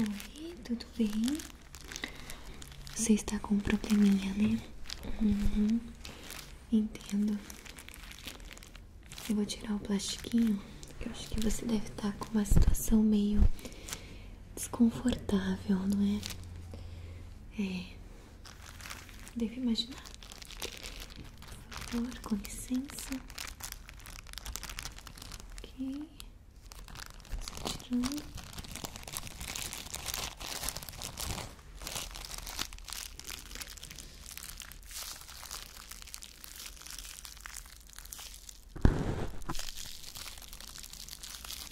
Oi, tudo bem? Você está com um probleminha, né? Uhum. Entendo. Eu vou tirar o plastiquinho. Eu acho que você deve estar tá com uma situação meio desconfortável, não é? É. Deve imaginar. Por favor, com licença. Ok. tirando.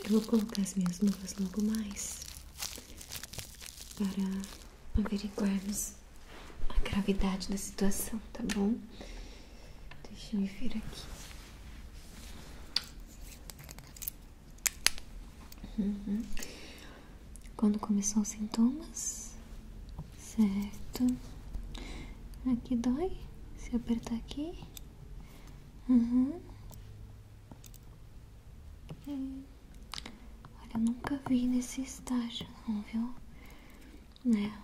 Eu vou colocar as minhas luvas logo mais para averiguarmos a gravidade da situação, tá bom? Deixa eu vir aqui. Uhum. Quando começou os sintomas? Certo. Aqui dói? Se apertar aqui? Uhum. Olha, eu nunca vi nesse estágio não, viu? Né?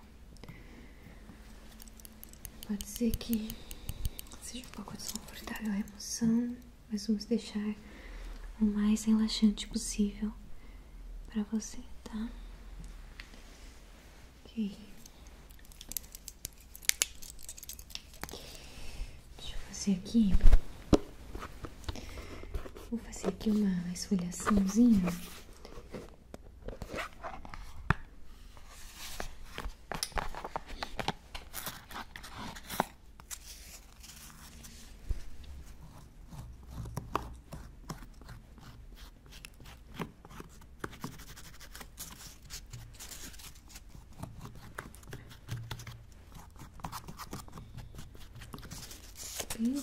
Pode ser que seja um pouco desconfortável a emoção, mas vamos deixar o mais relaxante possível para você, tá? Ok. Deixa eu fazer aqui. Vou fazer aqui uma esfoliaçãozinha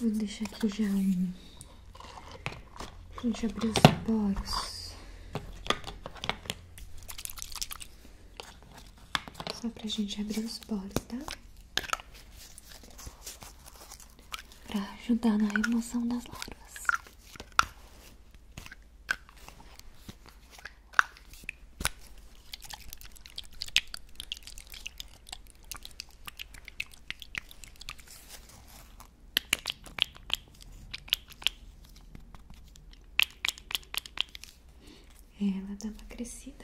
vou deixar aqui já um. Gente, abrir os poros. Só pra gente abrir os poros, tá? Pra ajudar na remoção das larvas. Ela dá uma crescida.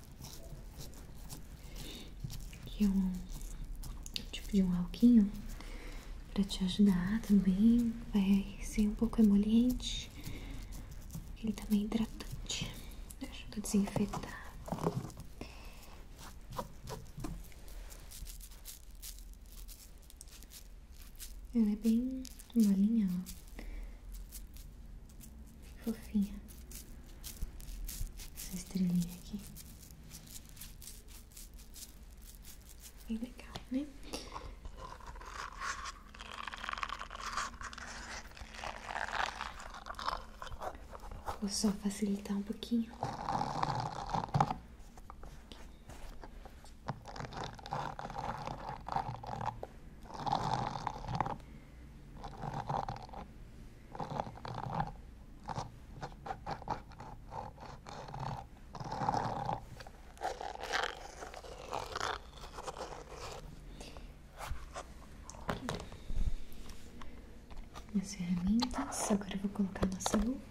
E um tipo de um alquinho para te ajudar também. Vai ser um pouco emoliente. Ele também tá é hidratante. Ajuda a desinfetar. Ela é bem molinha, fofinha. Essa estrelinha aqui. Bem legal, né? Vou só facilitar um pouquinho. Minhas ferramentas, agora vou colocar nossa luva.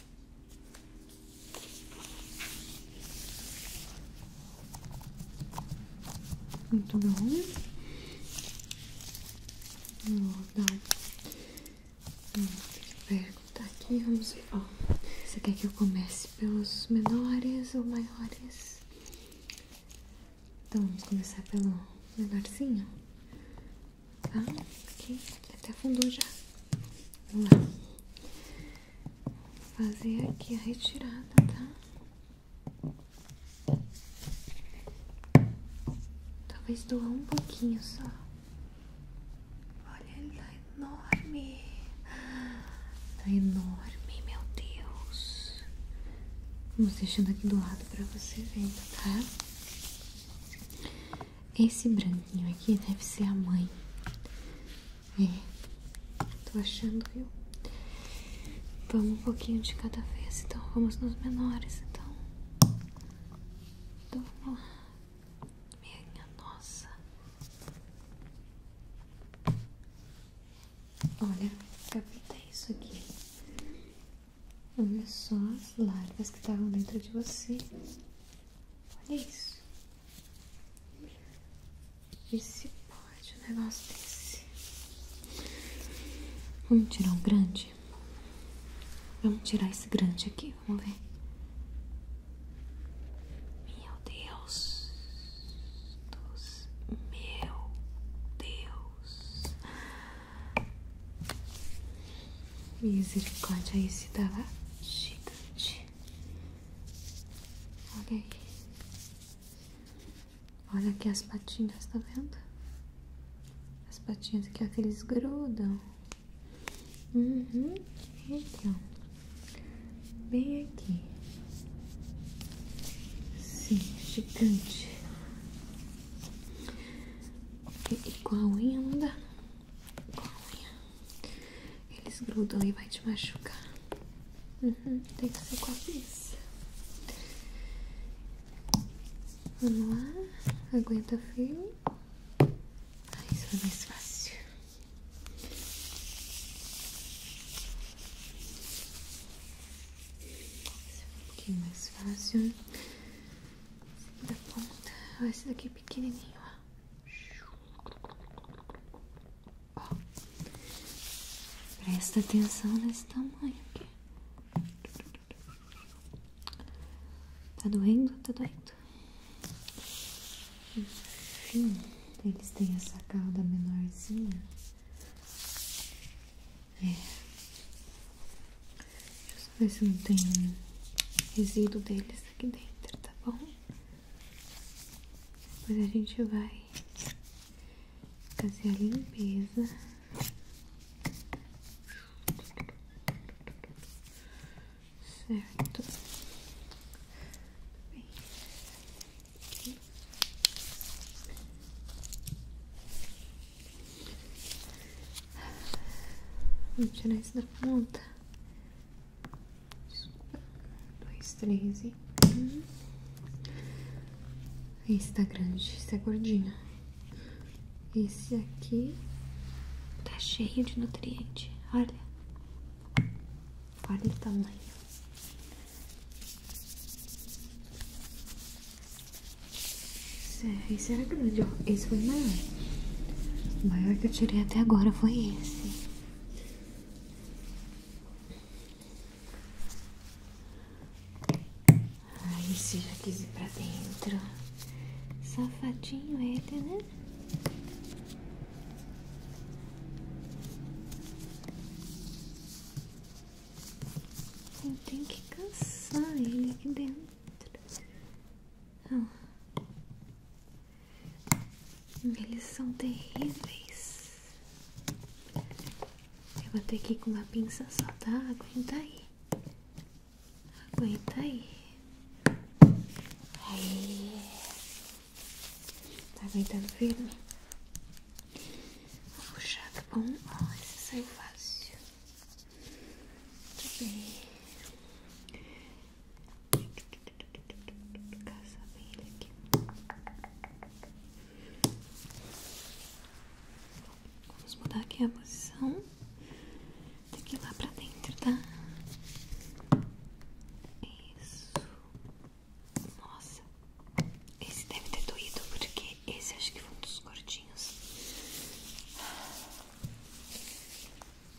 Muito bom. Vou dar um pego, tá aqui, vamos ver. você quer que eu comece pelos menores ou maiores? Então vamos começar pelo menorzinho. Tá? Aqui, até afundou já. Vamos lá. Vou fazer aqui a retirada, tá? Talvez doar um pouquinho só. Olha, ele tá enorme. Tá enorme, meu Deus. Vamos deixando aqui do lado pra você vendo, tá? Esse branquinho aqui deve ser a mãe. É, tô achando, viu? Vamos um pouquinho de cada vez, então vamos nos menores, então. então vamos lá. Minha nossa. Olha, capta isso aqui. Olha só as larvas que estavam dentro de você. Olha isso. E se pode um negócio desse? Vamos tirar um grande? Vamos tirar esse grande aqui, vamos ver. Meu Deus. Dos... Meu Deus. Misericórdia, aí se dava gigante. Olha aí. Olha aqui as patinhas, tá vendo? As patinhas aqui, ó, que eles grudam. Uhum. Então, bem aqui. Sim, gigante. Ok, e com a unha não dá. Com Eles grudam e vai te machucar. Uhum, tem que ser com a cabeça. Vamos lá. Aguenta fio Ah, isso foi é mais fácil. Isso é um pouquinho mais fácil da ponta, ó, esse daqui é pequenininho, ó. Presta atenção nesse tamanho aqui. Tá doendo? Tá doendo. Enfim, eles têm essa calda menorzinha. É. não tem resíduo deles aqui dentro, tá bom? Depois a gente vai fazer a limpeza. Certo. Vou tirar isso da ponta. Desculpa. Um, dois, três e. Um. Uhum. Esse tá grande, esse é gordinho. Esse aqui tá cheio de nutriente. Olha. Olha o tamanho. Esse era grande, ó. Esse foi o maior. O maior que eu tirei até agora foi esse. Ai, ah, esse já quis ir pra dentro. Safadinho ele, né? Eu tenho que cansar ele aqui dentro. Ah. Eles são terríveis. Eu vou ter que ir com uma pinça só, tá? Aguenta aí. Aguenta aí. Aí. Tá aguentando firme? Vou puxar, tá bom? Olha, saiu é fácil. tudo bem. Caçar bem ele aqui. Vamos mudar aqui a posição. daqui lá pra dentro, tá? Isso. Nossa, esse deve ter doído, porque esse acho que foi um dos cortinhos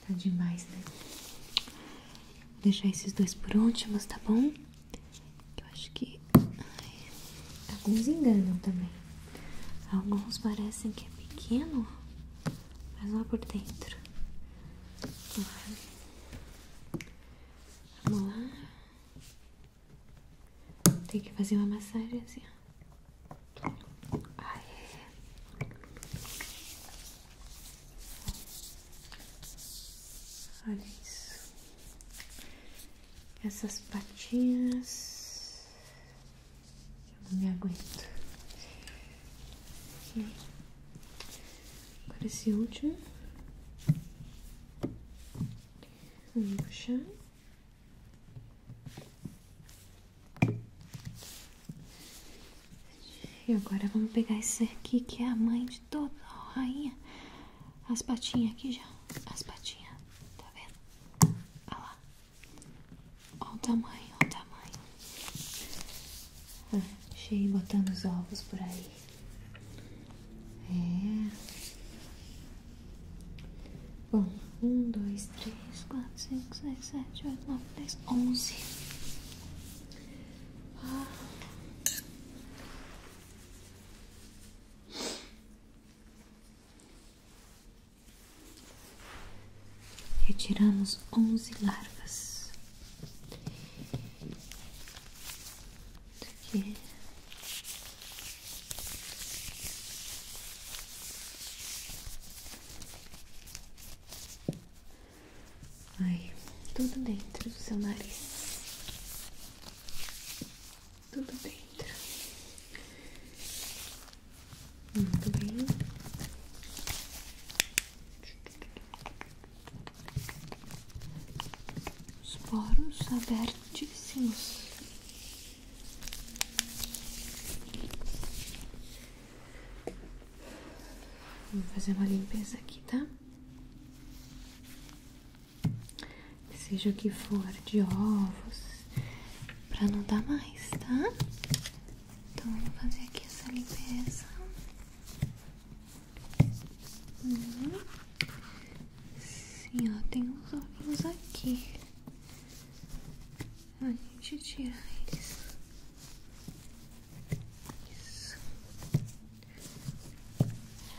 Tá demais, né? Vou deixar esses dois por últimos, tá bom? Eu acho que. alguns enganam também. Alguns parecem que é pequeno, mas olha é por dentro. Vamos lá. Tem que fazer uma massagem assim, é. Olha isso. Essas patinhas. Eu não me aguento. Aqui. Agora esse último. Vamos puxar. E agora vamos pegar esse aqui que é a mãe de toda a rainha. As patinhas aqui já. As patinhas. Tá vendo? Olha lá. Olha o tamanho, olha o tamanho. achei ah, botando os ovos por aí. É. Bom, um, dois, três, quatro, cinco, seis, sete, oito, nove, dez, onze. Retiramos onze larvas aí tudo dentro do seu nariz. Tudo dentro. Muito bem os poros abertíssimos. Vou fazer uma limpeza aqui, tá? Seja o que for de ovos, pra não dar mais, tá? Então, vou fazer aqui essa limpeza. Sim, tem uns ovinhos aqui. A gente tira eles.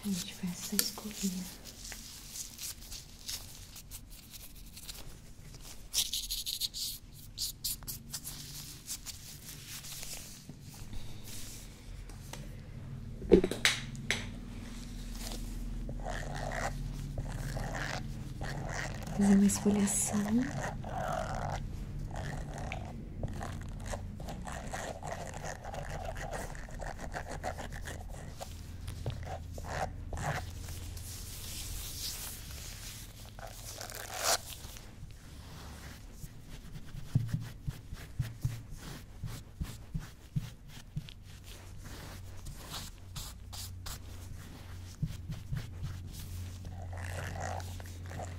A gente faz essa escovinha. Fazer uma esfoliação.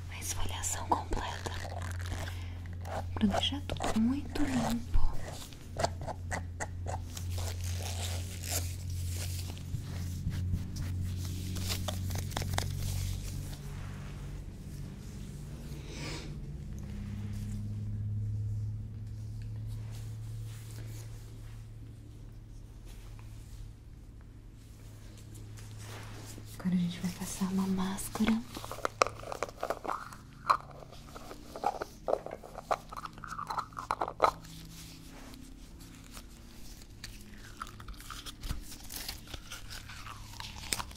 Uma esfoliação completa Projeto muito limpo. Agora a gente vai passar uma máscara.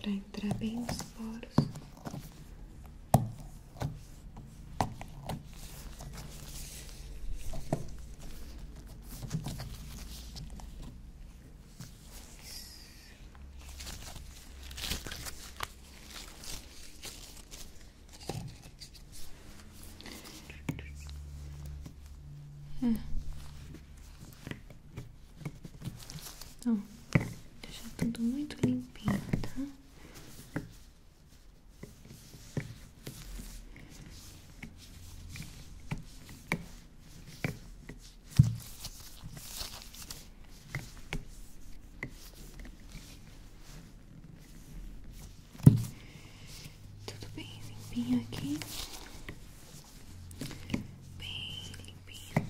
Para entrar bem nos poros. É. Hum. Então, deixar tudo muito limpinho, tá? Tudo bem limpinho aqui. Bem limpinho.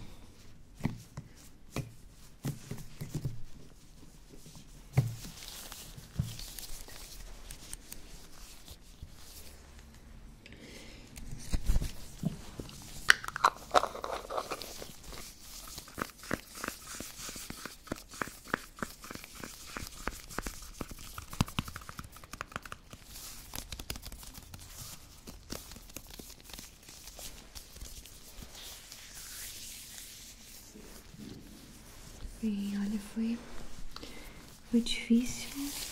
Bem, olha, foi, foi difícil.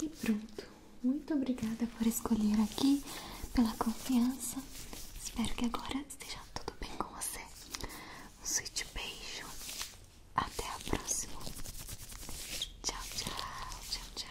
E pronto. Muito obrigada por escolher aqui, pela confiança. Espero que agora esteja tudo bem com você. Um sweet beijo. Até a próxima. Tchau, tchau, tchau, tchau.